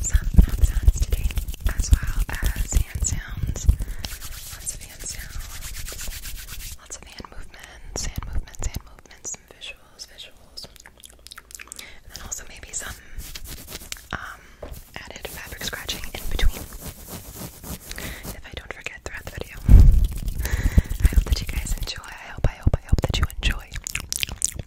some hand sounds today, as well as hand sounds. Lots of hand sounds, lots of hand movements, hand movements, hand movements, some visuals, visuals. And then also maybe some um, added fabric scratching in between. If I don't forget throughout the video. I hope that you guys enjoy. I hope, I hope, I hope that you enjoy.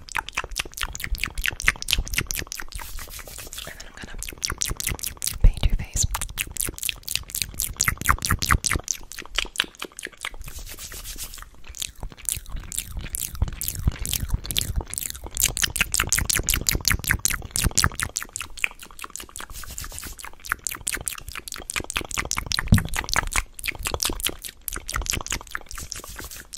And then I'm gonna paint your face.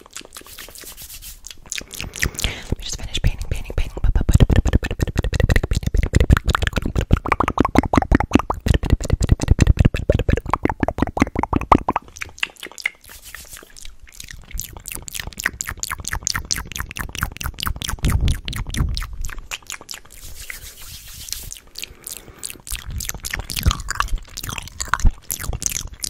Let me just finish painting, painting, painting.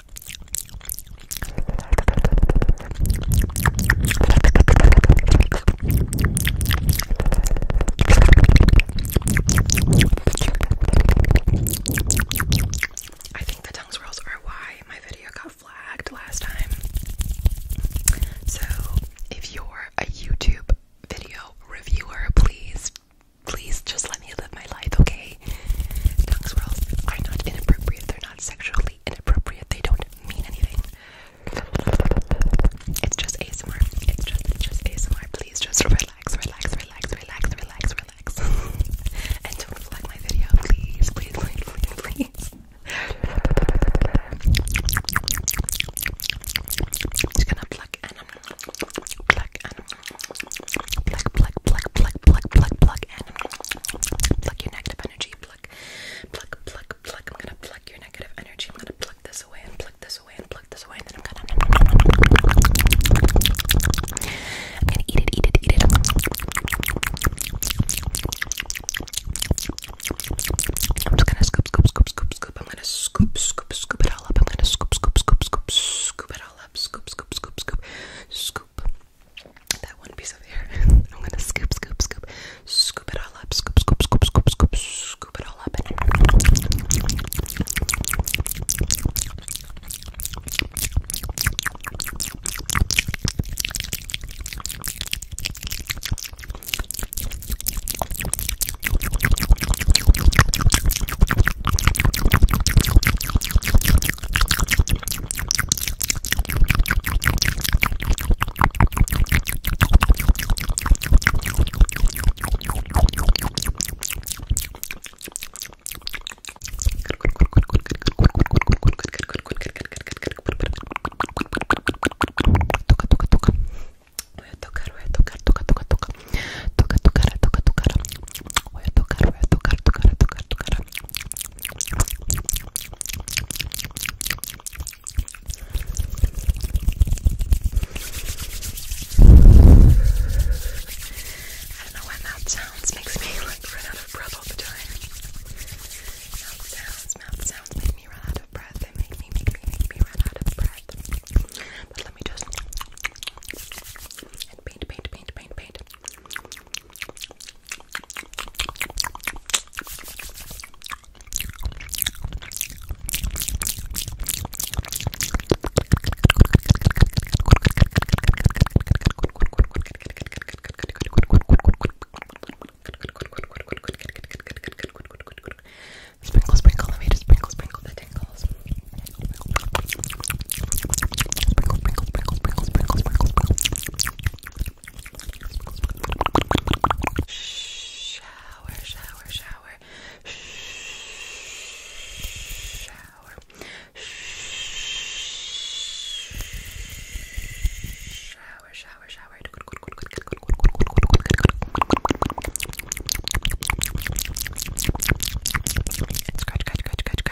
I think the tongue swirls are why my video got flagged last time. So, if you're a YouTube video reviewer, please please just let me live my life, okay? Tongue swirls are not inappropriate, they're not sexually inappropriate, they don't mean anything. It's just ASMR. It's just it's just ASMR. Please just relax, relax, relax, relax, relax, relax. and don't flag my video, please, please, please, please, I'm just gonna pluck and pluck and Pluck, pluck, pluck, pluck, pluck, pluck, pluck, and pluck your negative energy. Pluck, pluck, pluck, pluck. I'm gonna pluck your negative energy. I'm gonna pluck this away and pluck this away and pluck this away, and then I'm gonna. I'm gonna eat it, eat it, eat it. I'm just gonna scoop, scoop, scoop, scoop, scoop. I'm gonna scoop, scoop, scoop it all up. I'm gonna scoop, scoop, scoop, scoop, scoop it all up. Scoop, scoop, scoop, scoop, scoop. That one piece of hair. I'm gonna scoop, scoop, scoop, scoop it all up. Scoop, scoop, scoop, scoop, scoop, scoop it all up. tocar, voy a tocar, tocar, tocar, tocar, toca, tocar, toca, tocar. Voy a tocar, voy a tocar, tocar, tocar, tocar. I don't know why mouth sounds makes me like run out of breath all the time. Mouth sounds, mouth sounds make me run out of breath. They make me, make me, make me run out of breath. But let me just and paint, paint, paint, paint, paint. Sprinkle, sprinkle, let me just sprinkle, sprinkle that tingles. Prickle, prickle, prickle, prickle, prickle, prickle, prickle. Shower, shower, shower. Shower. Shower, shower, shower. Scratch, scratch, scratch, scratch,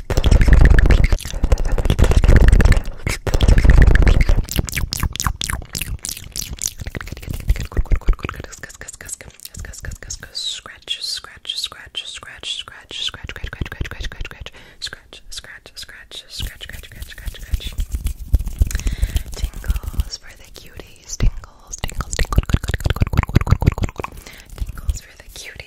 Scratch, scratch, scratch, scratch, scratch, scratch, scratch, scratch, scratch, scratch, scratch, scratch, scratch, scratch, scratch, scratch, scratch, scratch. Tingles for the cuties. Tingles, tingles, tingles, tingles for the cuties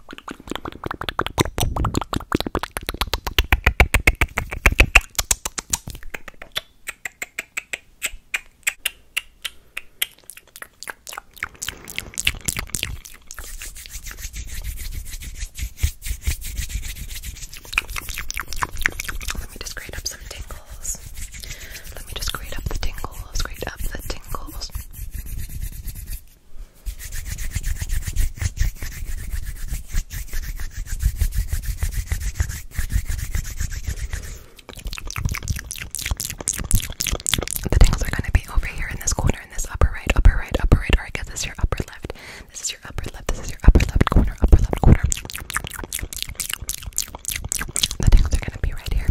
Let me just grate up some tingles. Let me just grate up the tingles, grate up the tingles. The tingles are going to be over here in this corner, in this upper right, upper right, upper right, or I guess this is your upper left. This is your upper left, this is your upper left corner, upper left corner. The tingles are going to be right here.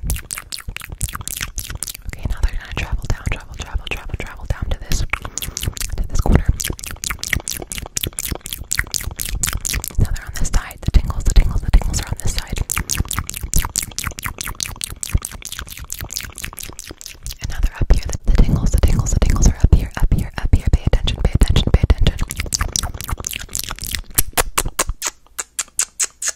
Okay, now they're gonna travel down, travel, travel, travel, travel down to this, to this corner. Now they're on this side. The tingles, the tingles, the tingles are on this side. And now they're up here. The, tingles, the tingles, the tingles are up here, up here, up here. Pay attention, pay attention, pay attention.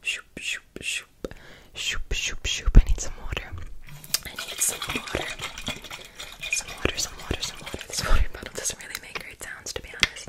Shoop, shoop, shoop. Shoop, shoop, shoop. I need some water. I need some water. Some water, some water, some water. This water bottle doesn't really make great sounds, to be honest.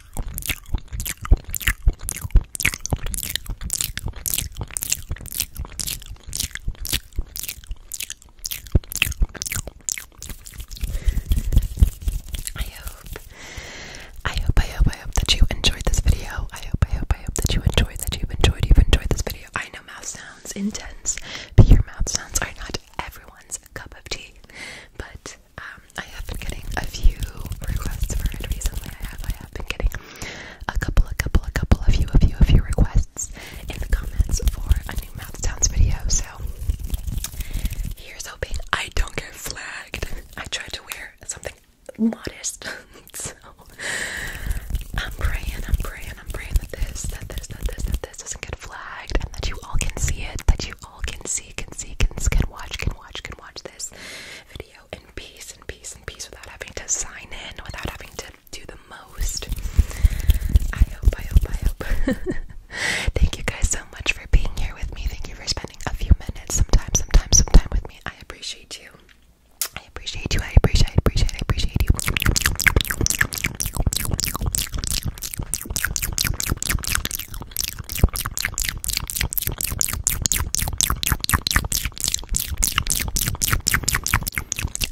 I hope, I hope, I hope, I hope that you enjoyed this video. I hope, I hope, I hope that you enjoyed, that you've enjoyed, you've enjoyed this video. I know mouth sounds intense, but your mouth sounds are not everyone's cup of tea. But um, I have been getting a few requests for it recently. I have, I have been getting a couple, a couple, a couple, a few, a few, a few requests in the comments for a new mouth sounds video. So here's hoping I don't get flagged. I tried to wear something modest, so I'm praying, I'm praying, I'm praying that this, that this, that this, that this doesn't get flagged, and that you all can see it, that you can see, can see, can can watch, can watch, can watch this video in peace, in peace, in peace, without having to sign in, without having to do the most. I hope, I hope, I hope. Thank you guys so much for being here with me. Thank you for spending a few minutes, sometime, sometime, sometime with me. I appreciate you. I appreciate you. I appreciate, I appreciate, I appreciate you.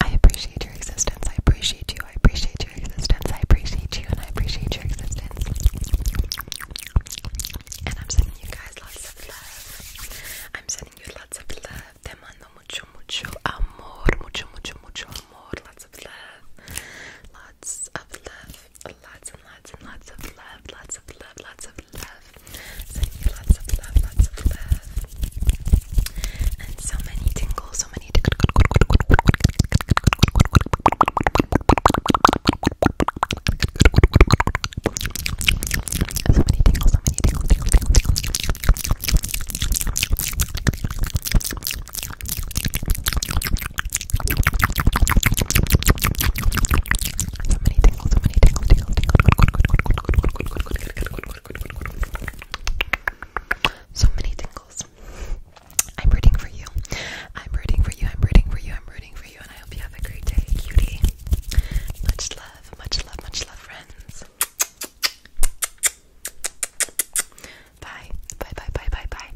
I appreciate your existence. I appreciate you. I appreciate your existence. I appreciate you and I appreciate your existence. And I'm sending you guys lots of love. I'm sending you lots of love. Te mucho, mucho amor. Mucho, mucho, mucho amor. Lots of love. Lots of love lots and lots and lots of love, lots of love, lots of love. Sending you lots of love, lots of love. And so many tingles, so many tingles. So many tingles, so many tingles, tingles, tingles, tingles. So many tingles, so many tingles, tingles, tingles. So many tingles. I'm rooting for you. I'm rooting for you. I'm rooting for you. I'm rooting for you. And I hope you have a great day, cutie. Much love, much love, much love, friends. Bye. Bye, bye, bye, bye, bye.